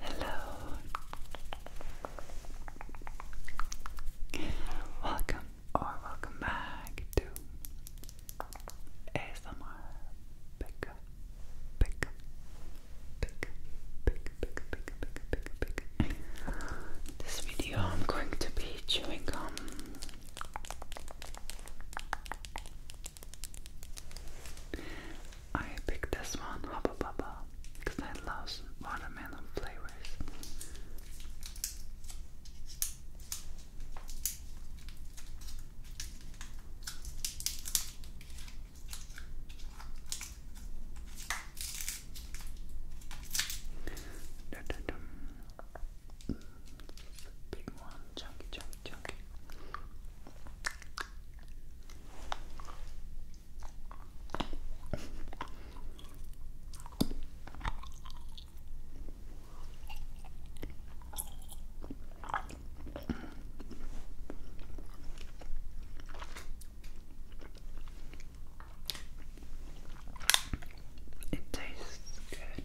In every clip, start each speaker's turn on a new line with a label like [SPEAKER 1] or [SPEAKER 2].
[SPEAKER 1] Hello. Welcome or welcome back to ASMR Pick Pick Pick Pick Pick Pick Pick Pick Pick This video I'm going to be chewing gum I picked this one, Hubba Bubba, because I love watermelon flavors. Da -dum. big one, chunky, chunky, chunky. It tastes good.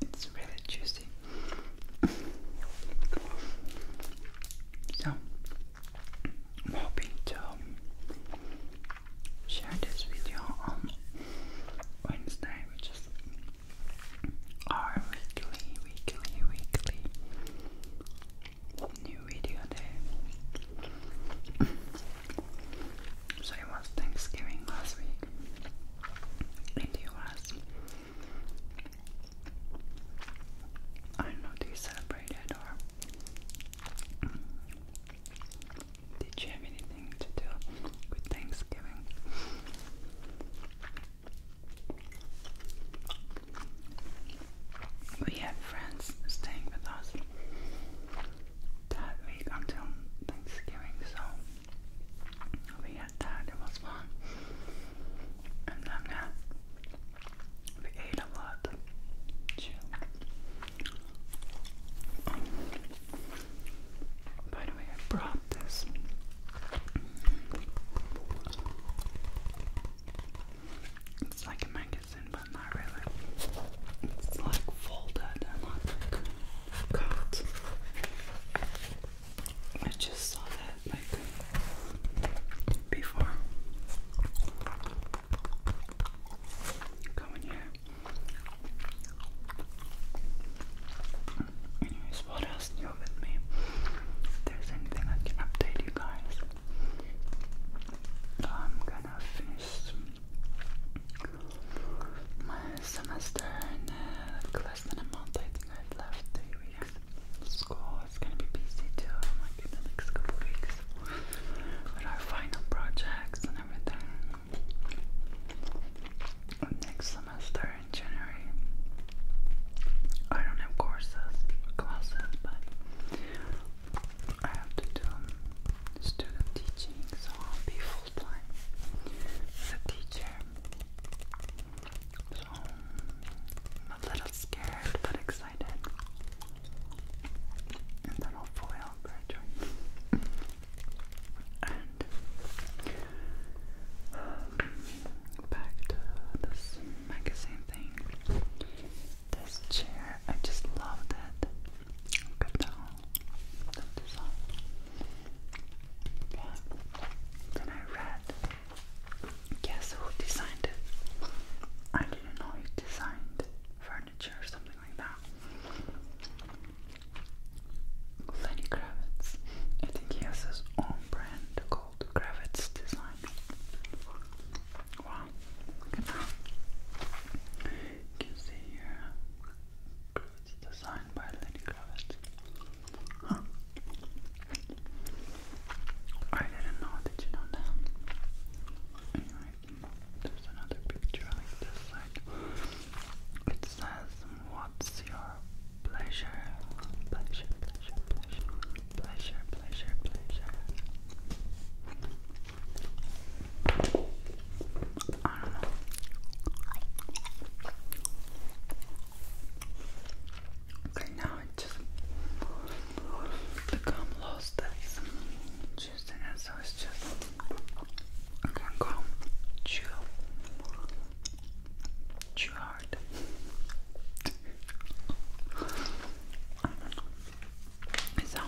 [SPEAKER 1] It's really juicy. so hoping to share this video on Wednesday, which is our weekly, weekly, weekly new video day. so it was Thanksgiving last week in the US. I don't know, do or did you have anything to do with Thanksgiving? We had friends staying with us that week until Thanksgiving, so we had that, it was fun. And then uh, we ate a lot. By the way, I brought this. It's like a magazine, but not really. It's like folded and like cut. I just saw that like before. Come in here. Anyways, what else new with me? If there's anything I can update you guys, I'm gonna finish my semester in uh, less than a month. I think I've left three weeks. School is gonna be busy too, like in the next couple weeks. But our final projects and everything next semester in January. I don't have courses, classes, but I have to do um, student teaching, so I'll be full time as a teacher. So I'm a little scared but excited. And then hopefully I'll um, back to this magazine thing. This chair, I just loved it. Look design. Yeah. Then I read. Guess who designed it? I didn't know he designed furniture or something like that. Lenny Kravitz. I think he has his own brand called Kravitz Design. Wow, can see here Kravitz Design by Lenny Kravitz. I didn't know, did you know that? Anyway, there's another picture like this side. It says, What's your pleasure, pleasure, pleasure, pleasure, pleasure, pleasure, pleasure. I don't know. Okay, now it just become lost. That's just an so it's just. can go chew too hard. so,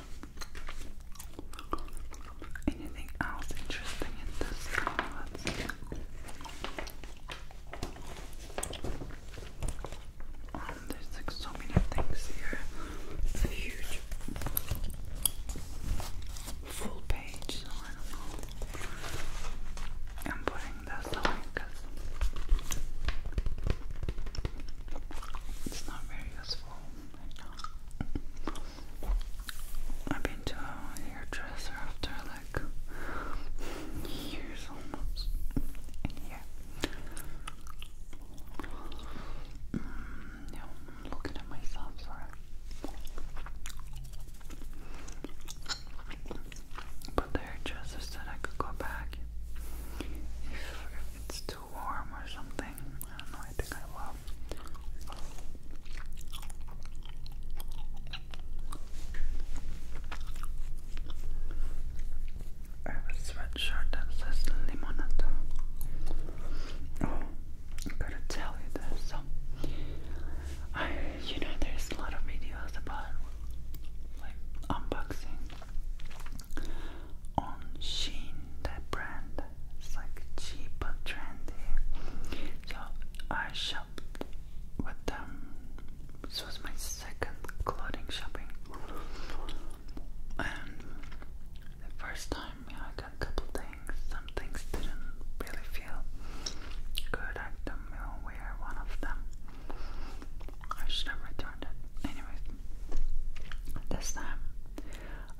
[SPEAKER 1] anything else interesting in this salad? Um, there's like so many things here. It's huge full page, so I don't know. I'm putting that away because it's not very useful I've been to a hairdresser after like years almost. yeah. Mm, no, I'm looking at myself, sorry. But the hairdresser said I could go back if, it's too warm or something. I don't know, I think I will. I have a sweatshirt that says Limonata. Oh. I'm gonna tell you this. So, I, you know, there's a lot of videos about like unboxing on Shein, that brand. It's like cheap but trendy. So I shopped with them. This was my second clothing shopping, and the first time I a couple things. Some things didn't really feel good. I don't know where one of them. I should have returned it. Anyways, this time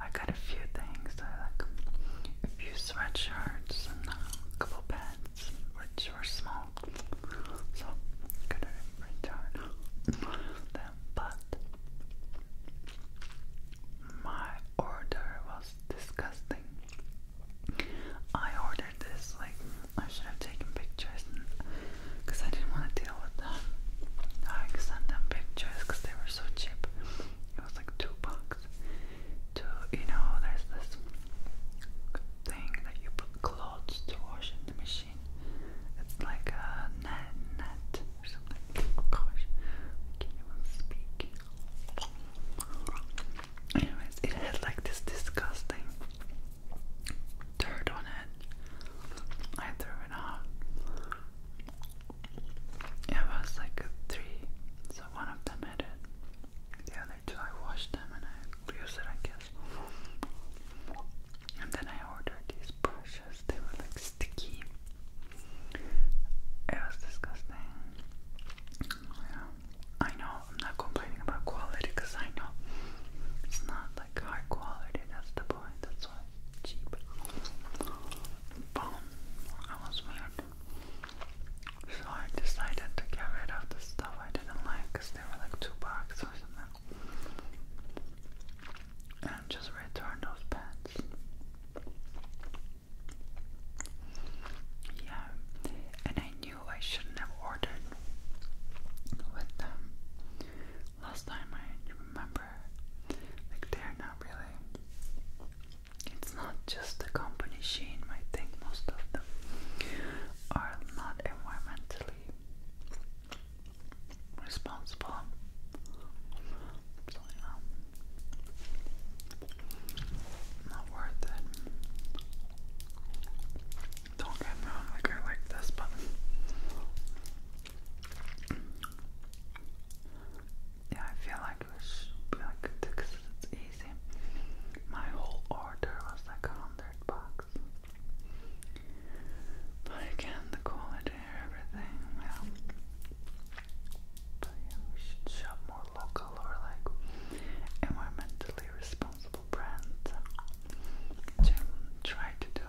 [SPEAKER 1] I got a few things. I like a few sweatshirts and a couple pants, which were small. So I could return them, but my order was disgusting. I ordered this, like, I should have taken pictures because I didn't want to deal with them. I sent them pictures because they were so cheap. It was like two bucks. To, you know, there's this thing that you put clothes to wash in the machine. It's like a net, net or something. gosh, I can't even speak. Anyways, it had like this disgusting dirt on it. I threw it out. It was like a three, so one of them had it. The other two, I washed them and I used it, I guess. And then I ordered these brushes. They were like sticky. It was disgusting. I know I'm not complaining about quality because I know it's not like high quality, that's the point, that's why cheap. Boom. I was weird. So I decided to get rid of the stuff I didn't like because they were like two bucks And just return those pants. Yeah, and I knew I shouldn't have ordered with them. Last time I remember, like they're not really. It's not just the company sheen. I think most of them are not environmentally responsible. So not worth it. Don't get me wrong, like I like this, but yeah, I feel like it should like easy. My whole order was like a hundred bucks. But again, the quality everything yeah, we should shop more local or like environmentally responsible brands. Which i to do.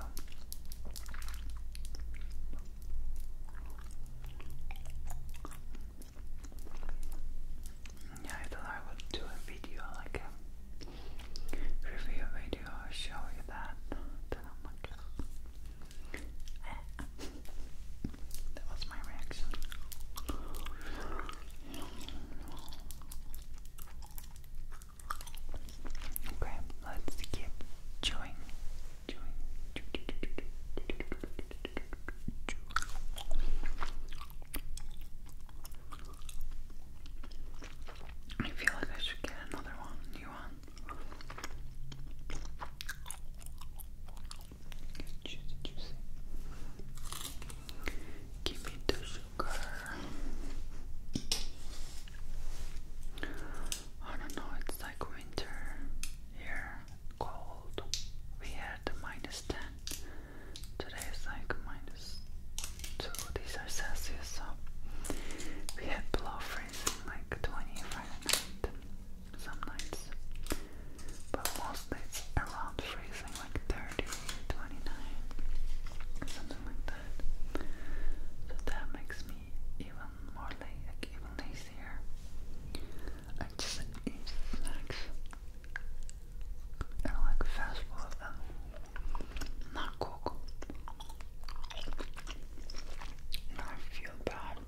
[SPEAKER 1] Yeah, I thought I would do a video, like a review video, show you that that was my reaction. Okay, let's keep chewing. Chewing. I feel like I should get another one, new one. Juicy, juicy. Give sugar. I don't know, it's like winter here, cold. We had minus 10. Today is like minus 2. These are Celsius, we had below freezing like 20 some nights, but most nights around freezing, like 30, something like that. So that makes me even more la even lazier. I just eat snacks and like fast food not cook. I feel bad god.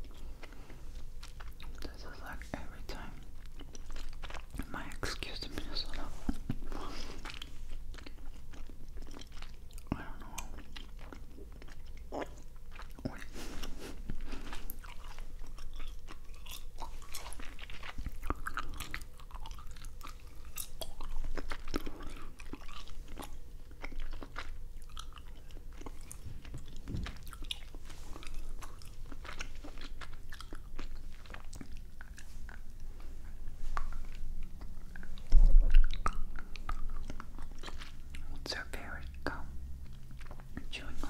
[SPEAKER 1] This is like every time my excuse to Minnesota. I don't know. What's your favorite gum? Chewing gum.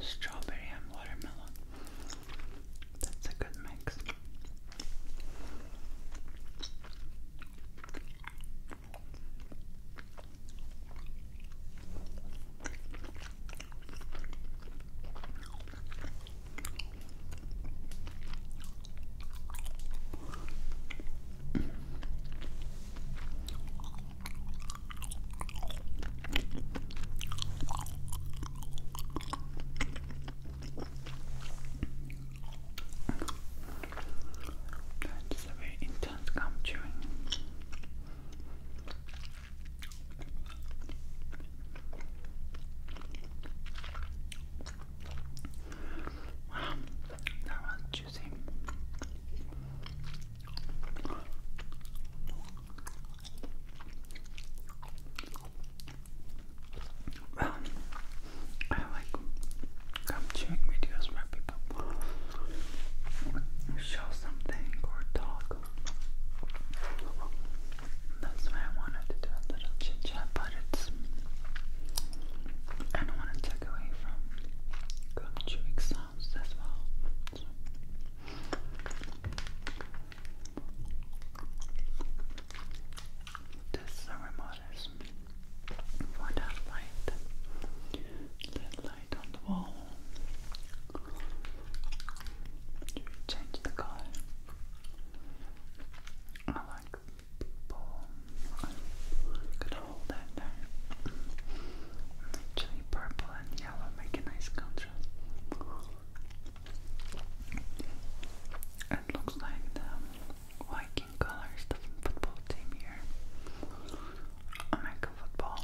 [SPEAKER 1] Strawberry and watermelon. That's a good mix. That's a very intense gum chewing. Wow, that was juicy. Well, I like gum videos where people show something or talk. That's why I wanted to do a little chit chat, but it's. I don't want to take away from gum chewing sounds as well. So. This remote is for that light, that light on the wall. change the color? I like could hold that there. Actually, purple and yellow make a nice contrast. It looks like the Viking colors, the football team here. American football.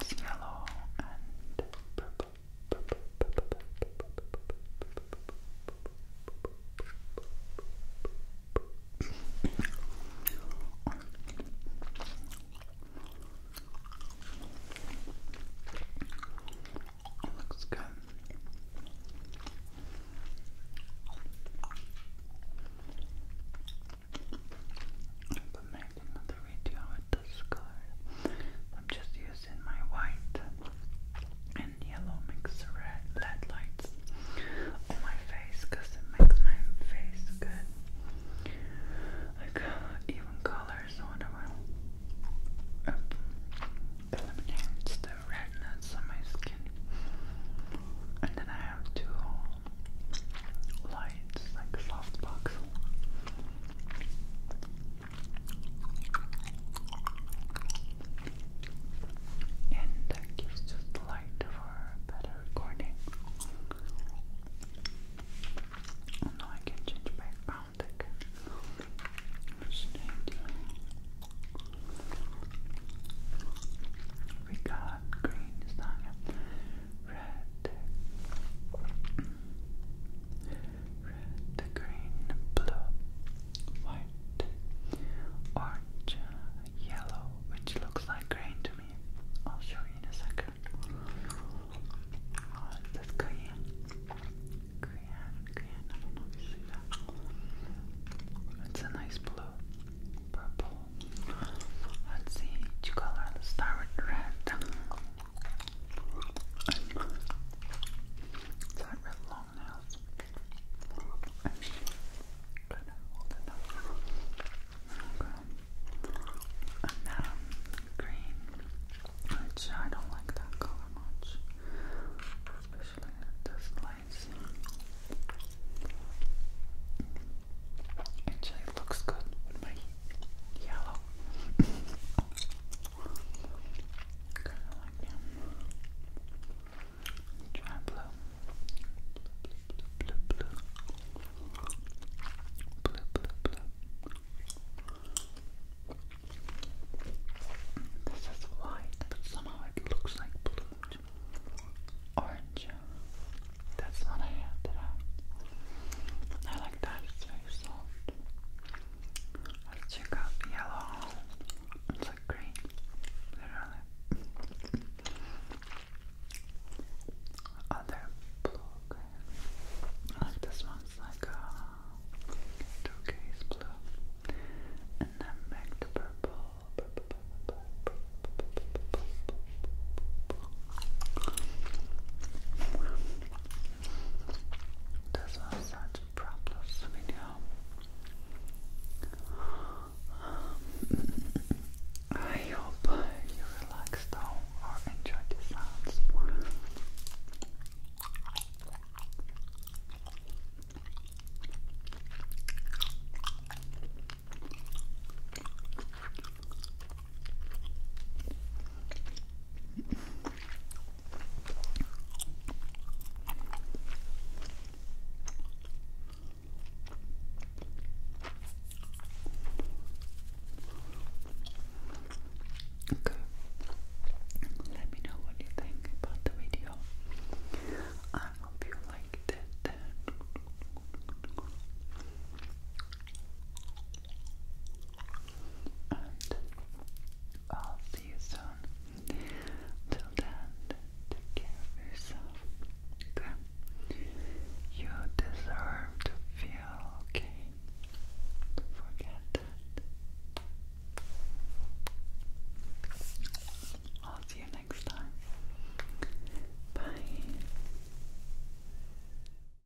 [SPEAKER 1] It's yellow and purple. Looks good. I'll make another video with this I'm just using my white and yellow mixed red LED lights on my face because it makes my face good. Like even colors on the eliminates the redness on my skin. And then I have two lights, like soft box. And that gives us light for better recording. Oh no, I can change background again. We got green is red red, green, blue, white, orange, yellow, which looks like green to me. I'll show you in a second. Oh, that's green. Green, green, I It's a nice blue, purple. Let's see each color. let red it's like real long nails. I mean, good, um, green, which I don't like that color much, especially at this lights. Actually, looks good yellow. kind of like them. blue. Blue, blue, blue, blue, blue. Blue, This is white, but somehow it looks like blue. Orange. That's not a hair I like that, it's very soft. Let's check out the yellow. It's like green, literally. Other blue, okay. Like this one's like uh, turquoise blue. And then back to purple. This was such a problems video. Um, I hope you relaxed though or enjoyed the sounds. Okay. Let me know what you think about the video. I hope you liked it. And I'll see you soon. Till then, take care of yourself. Okay? You deserve to feel okay. Don't forget that. I'll see you next time. Bye.